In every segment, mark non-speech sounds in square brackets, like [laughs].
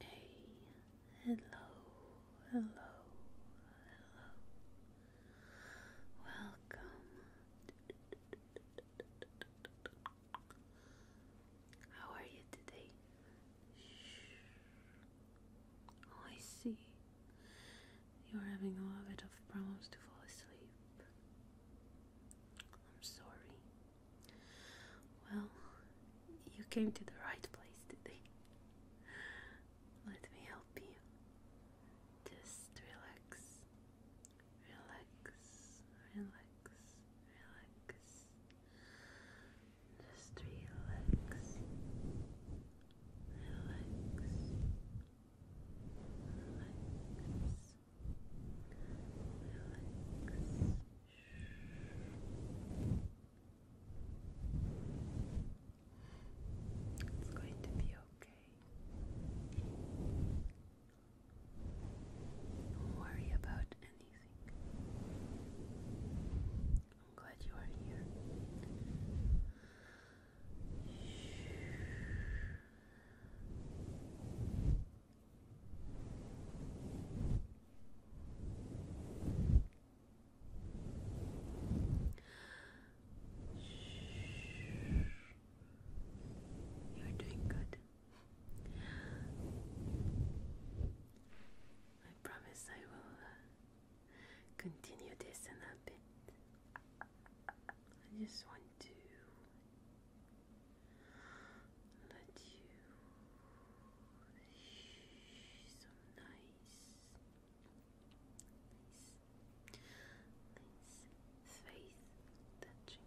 Hey, hello, hello, hello. Welcome. How are you today? Shh. Oh, I see. You're having a lot of problems to fall asleep. I'm sorry. Well, you came to the right place today. Let me help you. Just relax, relax, relax, relax. Just relax, relax, relax, relax. It's going to be okay. Don't worry about anything. I'm glad you are here. You're doing good. I promise I will uh, continue this in a bit. I just want to let you so nice, nice, nice face touching.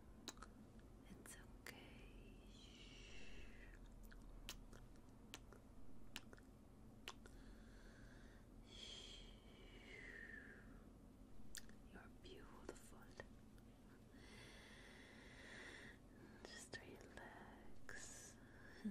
It's okay. You're beautiful. Just relax uh,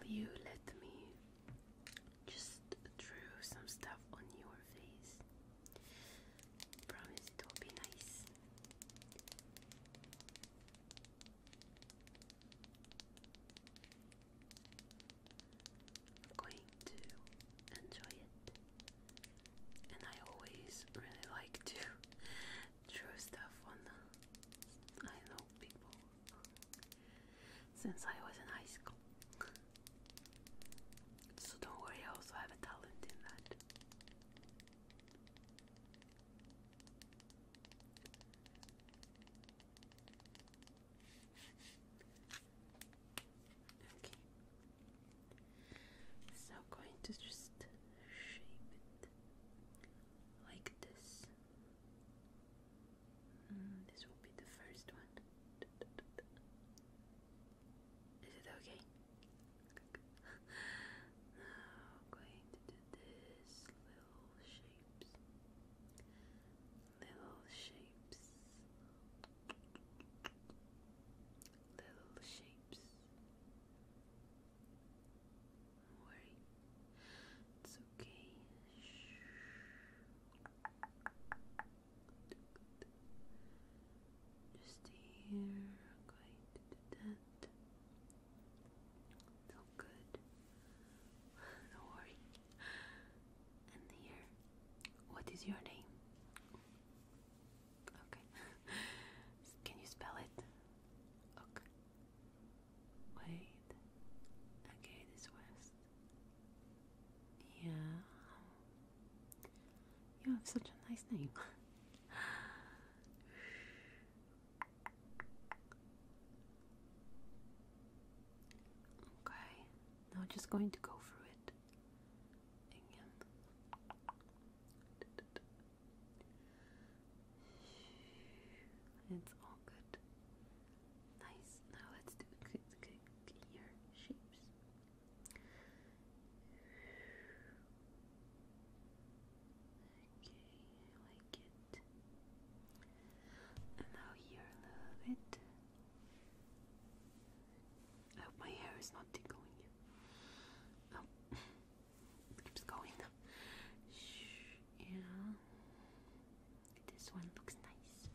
Will you let me just draw some stuff on your face? Promise it will be nice. I'm going to enjoy it. And I always really like to draw [laughs] stuff on, I know, people since I was in high school. [laughs] So don't worry, I also have a talent in that. Okay. So I'm going to just shape it like this. Mm, this will be the first one. Is it okay? [laughs] I'm going to do this little shapes. Little shapes. Little shapes. It's okay. Shh. Just here, going to do that. No good. do worry. And here, what is your name? Okay. [laughs] Can you spell it? Okay. Wait. Okay, this west. Yeah. You have such a nice name. [laughs] okay, now just going to go through it again. It's all good. Nice. Now let's do clear shapes. Okay, I like it. And now here a little bit. I hope my hair is not tickling. Oh, [laughs] keeps going. Yeah, this one looks nice.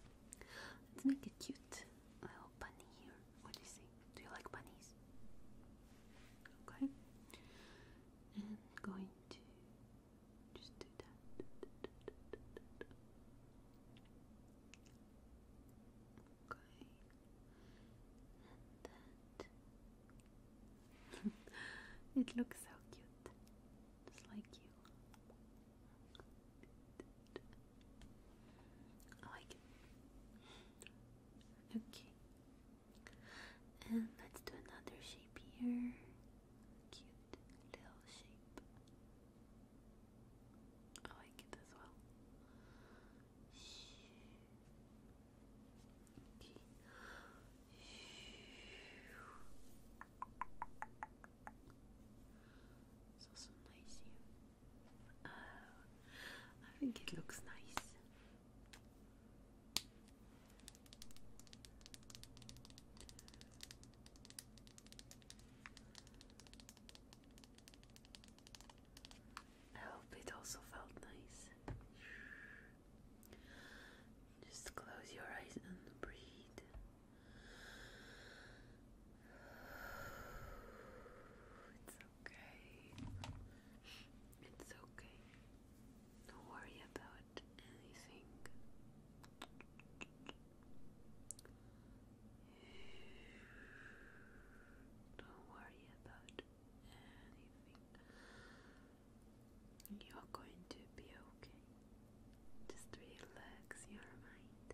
Let's make it cute little bunny here. What do you think? Do you like bunnies? Okay. And going to just do that. Okay. And that. [laughs] it looks so cute. Just like you. I like it. Okay. And let's do another shape here. Cute little shape. Oh, I like it as well. Okay. It's also nice here. Oh, I think it looks nice. I it also felt nice. Just close your eyes and breathe okay. It's okay. Don't worry about anything. Don't worry about anything. You're going to be okay. Just relax your mind.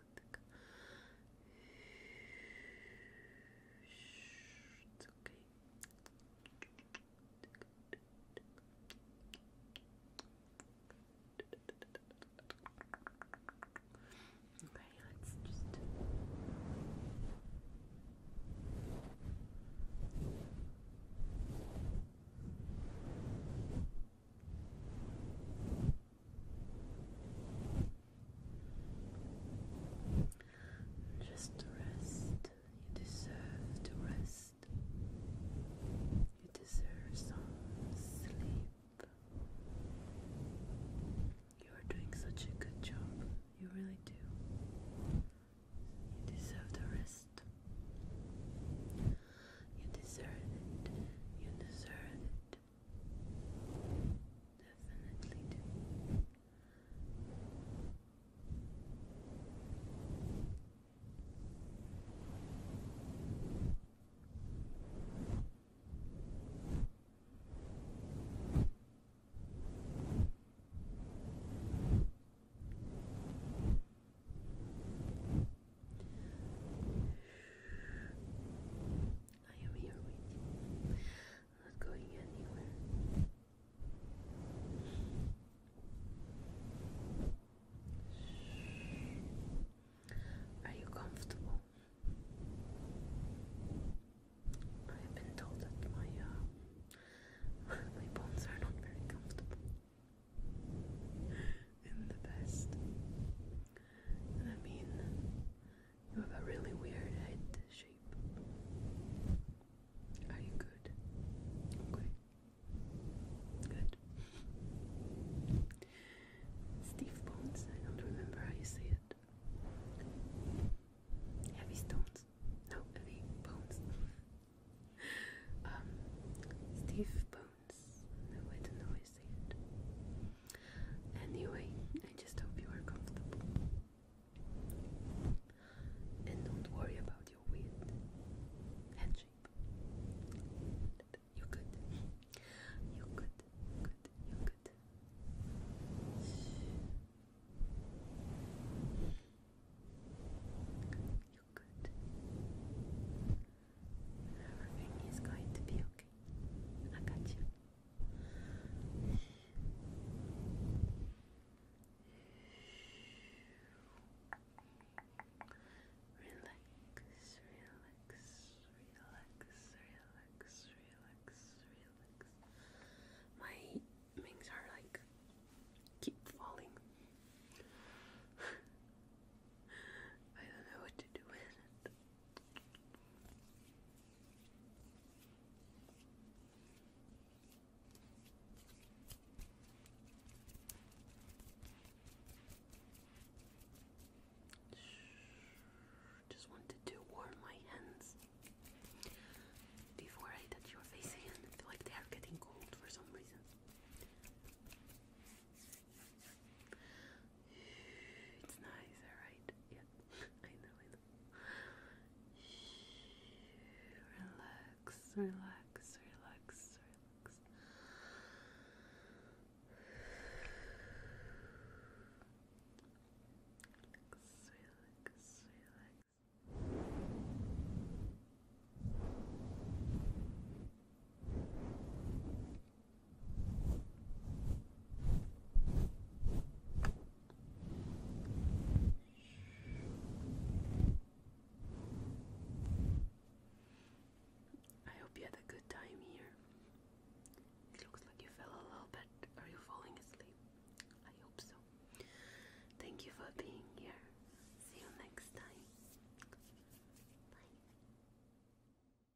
It's okay. Okay, let's just Okay. Just rest. You deserve to rest. You deserve some sleep. You are doing such a good job. You really do. You deserve the rest. You deserve it. You deserve it. Definitely do. I am here with you. not going anywhere. Are you comfortable? I've been told that my uh, [laughs] my bones are not very comfortable. [laughs] In the best. I mean, you have a really weird head shape. Are you good? Okay. Good. Steve Bones, I don't remember how you say it. Heavy stones. No, heavy bones. [laughs] um, Steve Bones. Anyway, I just hope you are comfortable. And don't worry about your weight head shape. You're good. You're good. Good. You're good. You're good. Everything is going to be okay. I got you. Relax, relax, relax, relax, relax, relax. My wings are like keep falling. [laughs] I don't know what to do with it. Just wanted to warm my hands before I touch your face again. I feel like they are getting cold for some reason. It's nice, alright? Yeah, [laughs] I know, relax, relax, relax. Relax, relax, relax. Relax, I hope you had a good time here. It looks like you fell a little bit. Are you falling asleep? I hope so. Thank you for being here. See you next time. Bye.